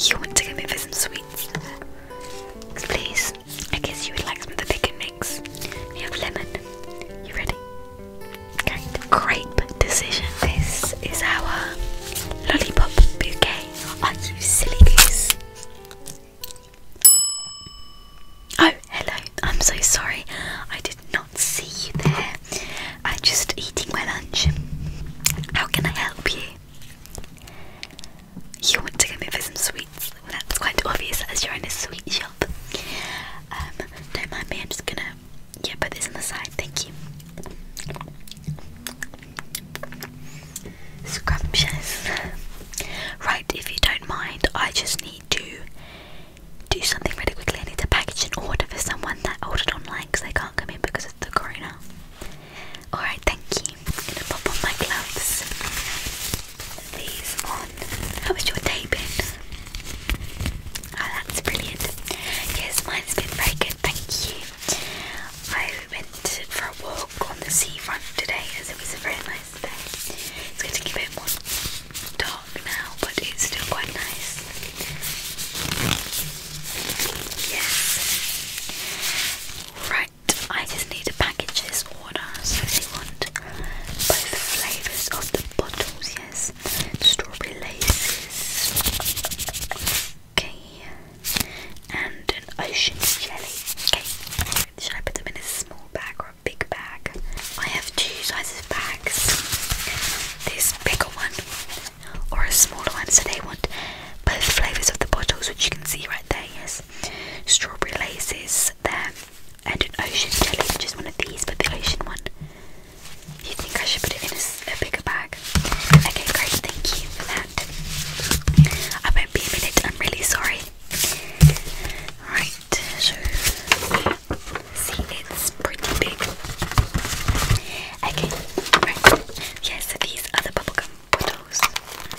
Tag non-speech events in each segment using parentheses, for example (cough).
You want to give me some sweets? Please. I guess you would like some of the bacon mix. You have lemon. You ready? Grape decision. This is our lollipop bouquet. Are you silly goose? Oh, hello. I'm so sorry. I did not see you there. I am just eating my lunch. How can I help you? You want to go me for some sweets? that's quite obvious as you're in a sweet shop. Um, don't mind me. I'm just gonna yeah put this on the side. Thank you. Scrumptious. right, if you don't mind, I just need to do something really quickly. I need to package an order for someone that ordered online because they can't come in because of the corona. Alright, thank you. I'm gonna pop on my gloves. These on. How was your day been? Oh, that's brilliant. Yes, mine's been very good, thank you. I went for a walk on the seafront today as it was a very nice day. It's getting a bit more dark now, but it's still quite nice. Yes. Right, I just need to package this order. So they want both flavours of the bottles, yes. Strawberry laces. Okay. And an ocean jelly. Okay. Should I put them in a small bag or a big bag? I have two sizes bags. This bigger one or a smaller one. So they want both flavours of the bottles, which you can see right there, yes. Strawberry laces there. And an ocean jelly, which one of these, but the ocean one. You think I should put it in a, bigger bag? Okay, great, thank you I won't be a minute, I'm really sorry. Right, see, it's pretty big. Okay, right. Yes, these are the bubblegum bottles.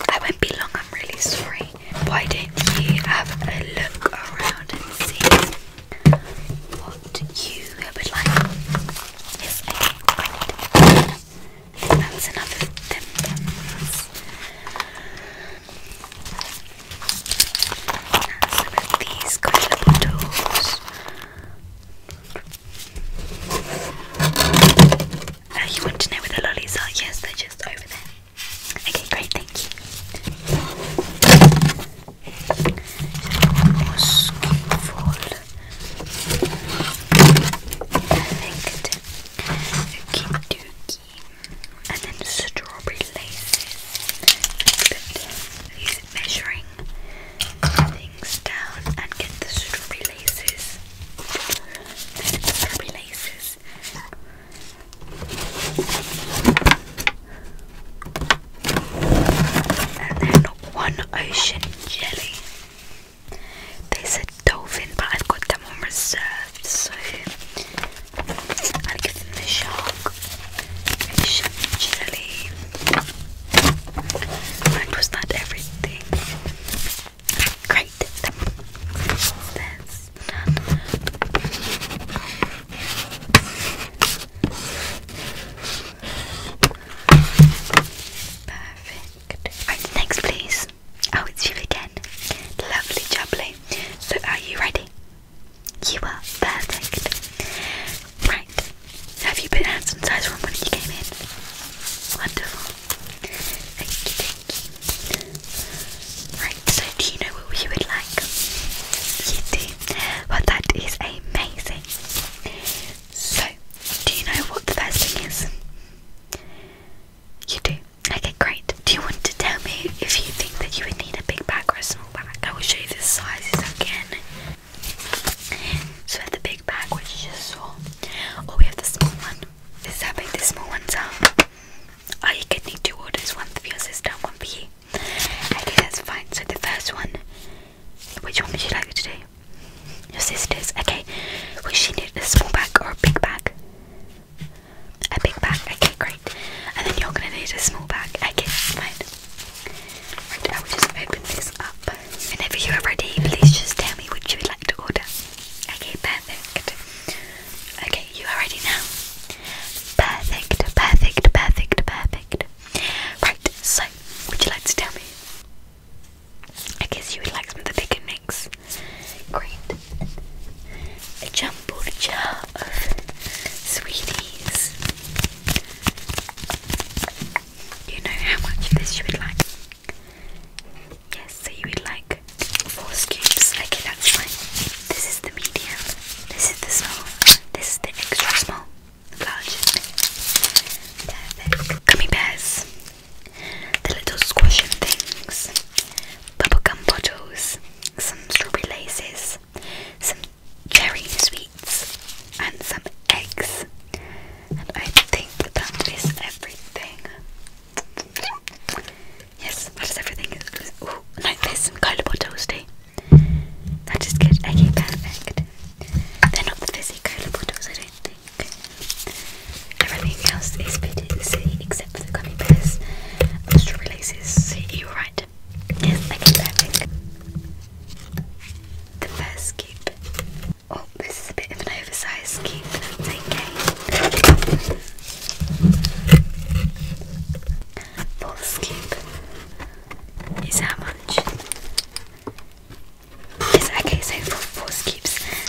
I won't be long, I'm really sorry. Why don't you have a look around and see what you would like? That's enough of them these colorful tools. Oh, you want to know where the lollies are? Yes, they're just over there. Okay, great, thank you. Perfect. Okie dokie. And then strawberry laces. Put measuring things down and get the strawberry laces. Then strawberry laces. And then one ocean jelly. They said dolphin, but I've got them on reserve, so I'll give them the shark. Fish and jelly. was that everything? Great. none. Perfect. Right, next please. Oh, it's you again. Lovely jubbly. So are you ready? You are perfect. Right. Have you been handsome size from when you came in? Wonderful. Thank you, thank you. Right, so do you know what you would like? You do. Well that is amazing. So, do you know what the first thing is? You do? Okay, great. Do you want to tell me if you think that you would need a big bag or a small bag? I will show you the sizes again. So we have the big bag, which you just saw. Or oh, we have the small one. This is how big the small ones are. Oh, you getting need two orders, one for your sister one for you. Okay, that's fine. So the first one, which one would you like to do? Your sisters. Okay. Will she need a small bag or a big bag? A big bag. Okay, great. And then you're gonna need a small bag. Okay, fine. Right, I will just open this up. Whenever you are ready, please just tell me what you would like to order. Okay, perfect. Okay, you are ready now. Perfect, perfect, perfect, perfect. Right, so would you like to tell me I guess you would like some they can mix. Great. A jumbled jar of sweeties. you know how much of this you would like? Yes, so you would like four scoops. Okay, that's fine. This is the medium, this is the small, this is the extra small, large. Perfect. Gummy bears the little squishing things, bubblegum bottles, some strawberry laces, some cherry sweets, and some eggs. And I think that is everything. Yes, that is everything. Ooh, no, there's some cola bottles too. That is good. Okay, perfect. They're not the fizzy cola bottles, I don't think everything else is PTC except for the gummy bears and strawberry You were right. The first scoop. Oh, this is a bit of an oversized scoop. okay. Fourth scoop is how much? Yes, okay, so for four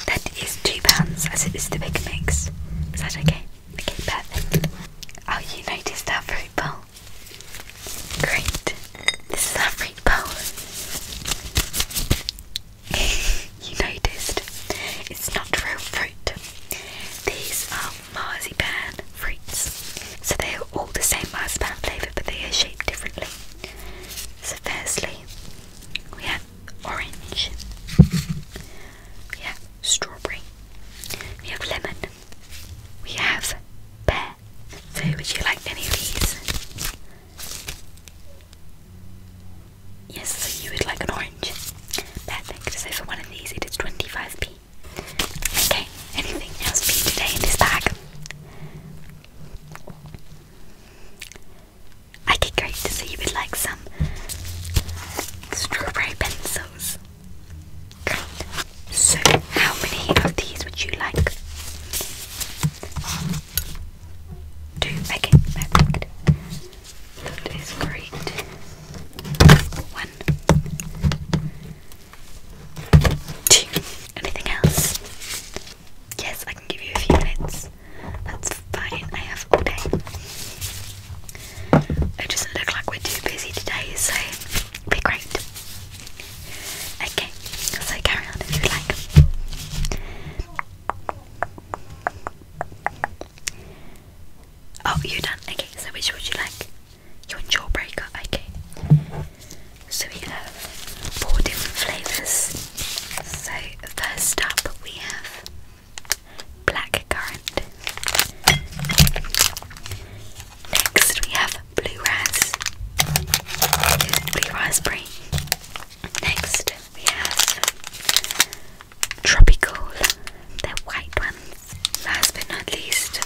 that is two pounds as it is the big mix. Is that okay? Okay, perfect. Oh, you noticed that fruit bowl. Great. This is our fruit bowl. (laughs) you noticed it's not real fruit. These are marzipan fruits. So they are all the same marzipan flavour but they are shaped differently. So firstly we have orange. We strawberry. We have lemon. We have pear. So would you like any of these? Yes, so you would like an orange. Perfect. So for one of these it is 25p. Okay, anything else for today in this bag? I did great, so you would like some strawberry pencils. Great. So, how many of these would you like? Two. Okay, perfect. That is great. One. Two. Anything else? Yes, I can give you a few minutes. That's fine, I have all day. It doesn't look like we're too busy today, so it'll be great. Okay, so carry on if you like. Oh, you done. Okay, so which would you like? You jawbreaker? Okay. So we have four different flavours. So first up we have blackcurrant. Next we have blue ras, blue raspberry. Next we have tropical, they're white ones. Last but not least,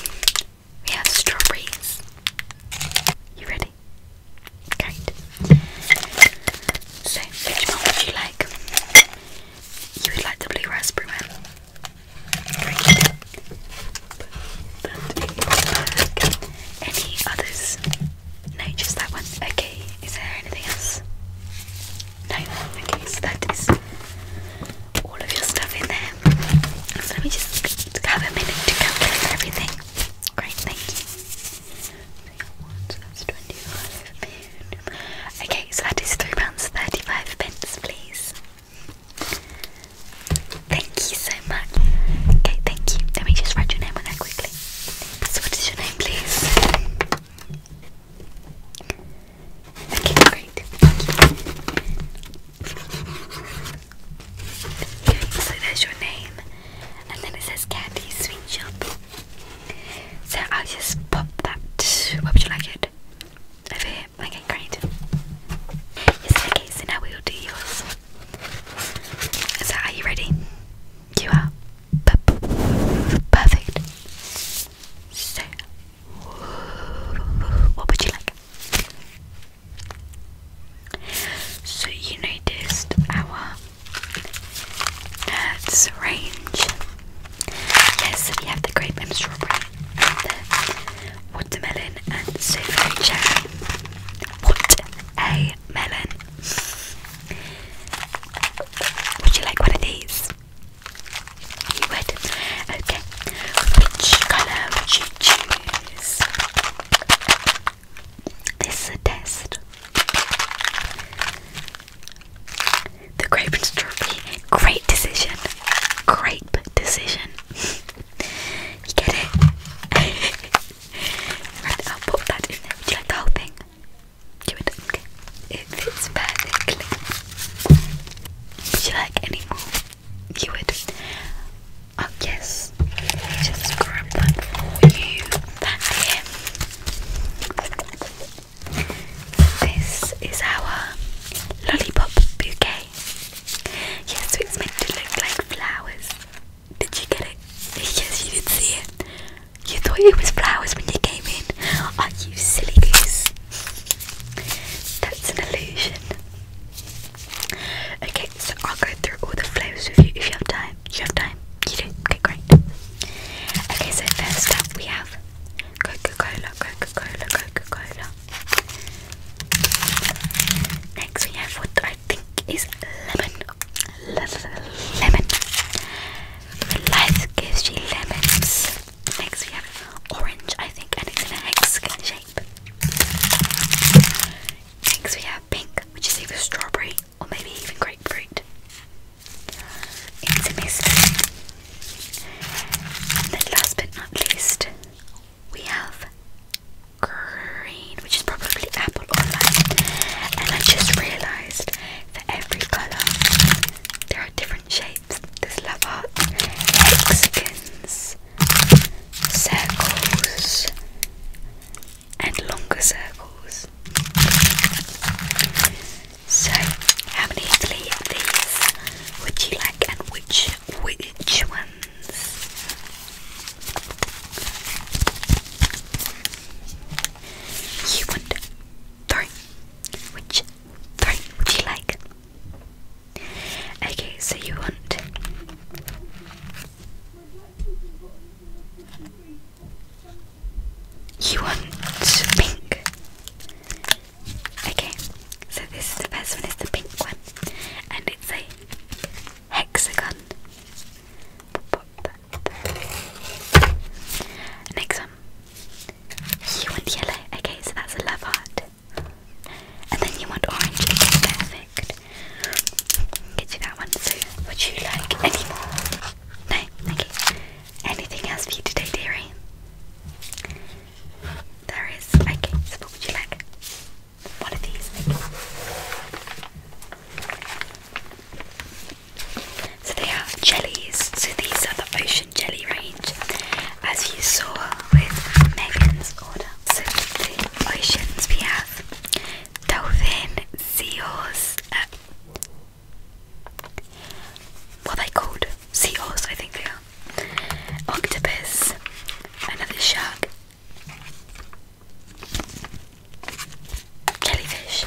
we have strawberries. You ready? Great. So, which one would you like? You would like the blue raspberry one. Any others? No, just that one. Okay, is there anything else? No, okay, so that is all of your stuff in there. So let me just have a minute to calculate everything. Great, thank (laughs) Okay, so that is £3.35, pence, please. Thank you so much. Okay, thank you. Let me just write your name on there quickly. So, what is your name, please? Okay, great. Thank So, there's your name, and then it says Candy Sweet Shop. So I'll just pop that. What would you like it? Over here. Okay, great. okay, so now we will do yours. So are you ready? You are. perfect. So, what would you like? So you noticed our it's range. Yes, we have the grape and strawberry, watermelon and sofa cherry. What a melon! Would you like one of these? You would. Okay. Which colour would you choose? This is a test. The grape and strawberry. Great decision. Grape decision. you get it? I'll pop that in there. Would you like the whole thing? Do it. Okay. It fits perfectly. Would you like any more? You would. Oh, yes. Just grab that for you. That's it. This is our lollipop bouquet. Yeah, so it's meant to look like flowers. Did you get it? Yes, you did see it. You thought it was flowers when you came in. Are you silly goose? That's an illusion. Okay, so I'll go through all the flavours with you if you have time. You have time? You do? Okay, great. Okay, so first up we have Coca-Cola, Coca-Cola, Coca-Cola. Next we have what I think is lemon. Lemon. When life gives you lemons. Next we have orange, I think, and it's in a hex shape. Next we have pink, which is either strawberry or maybe even grapefruit. It's a mystery. And then last but not least, we have green, which is probably apple or lime. And I just realised that every colour, there are different shapes. There's love hearts, hexagons, circles, and longer circles. So, how many of these would you like, and which which ones? You want three. Which three would you like? Okay, so you want. You want pink. Okay, so this is the first one, It's the pink one, and it's a hexagon. Next one. You want yellow, okay, so that's a love heart. And then you want orange, okay, perfect. Get you that one, so would you like any more? No, you. Anything else for you today, dearie? There is. Okay, so what would you like? One of these. So they are jellies. So these are the ocean jelly range, as you saw with Megan's order. So the oceans we have dolphin, seals, what are they called? Sea horse, I think they are. Octopus, another shark, jellyfish.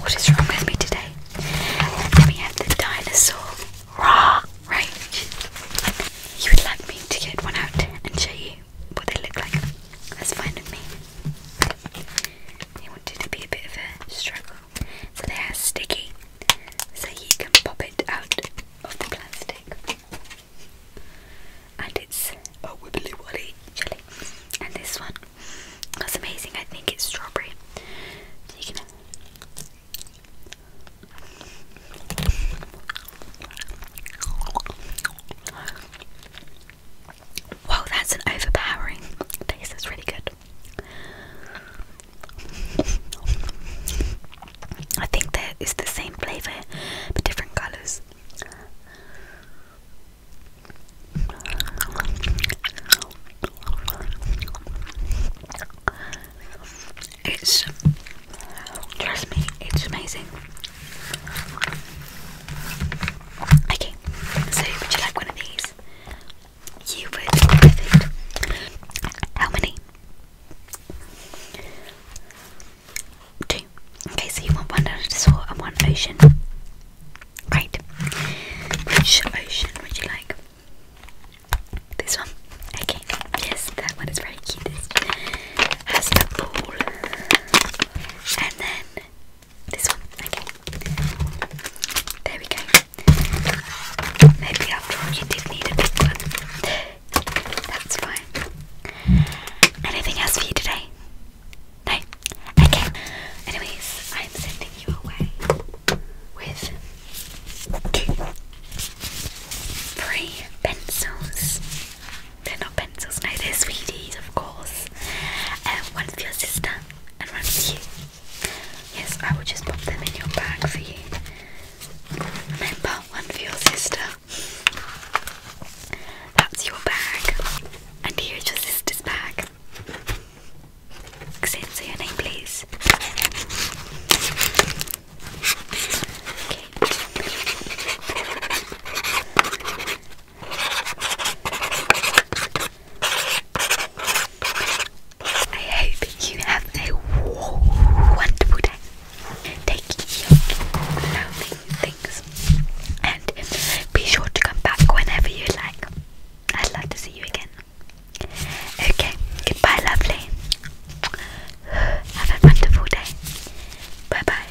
What is wrong with me today? Then we have the dinosaur. Raw, right? You would like me to get one out and show you what they look like. That's fine with me. It wanted to be a bit of a struggle so they are sticky, so you can pop it out of the plastic. And it's a wibbly wobbly jelly. And this one was amazing. I think it's strawberry. you can. Wow, that's an overpowering taste. That's really good. I think that the same flavour but different colours. It's trust me, it's amazing. Okay, so would you like one of these? You were perfect. How many? Two. Okay, so you want one out and one ocean. Great. Which ocean would you like? This one. Okay. Yes, that one is very cute. has the ball. And then this one. Okay. There we go. Maybe after all, you did need a big one. That's fine. Anything else for you today? No? Okay. Anyways, I'm sending you away with two free pencils. They're not pencils, no, they're sweeties, of course. Um, one for your sister and one for you. Yes, I will just pop them in your bag for you. Remember, one for your sister. That's your bag. And here's your sister's bag. Say your name, please. I hope you have a wonderful day. Take your lovely things and be sure to come back whenever you like. I'd love to see you again. Okay, goodbye, lovely. Have a wonderful day. Bye bye.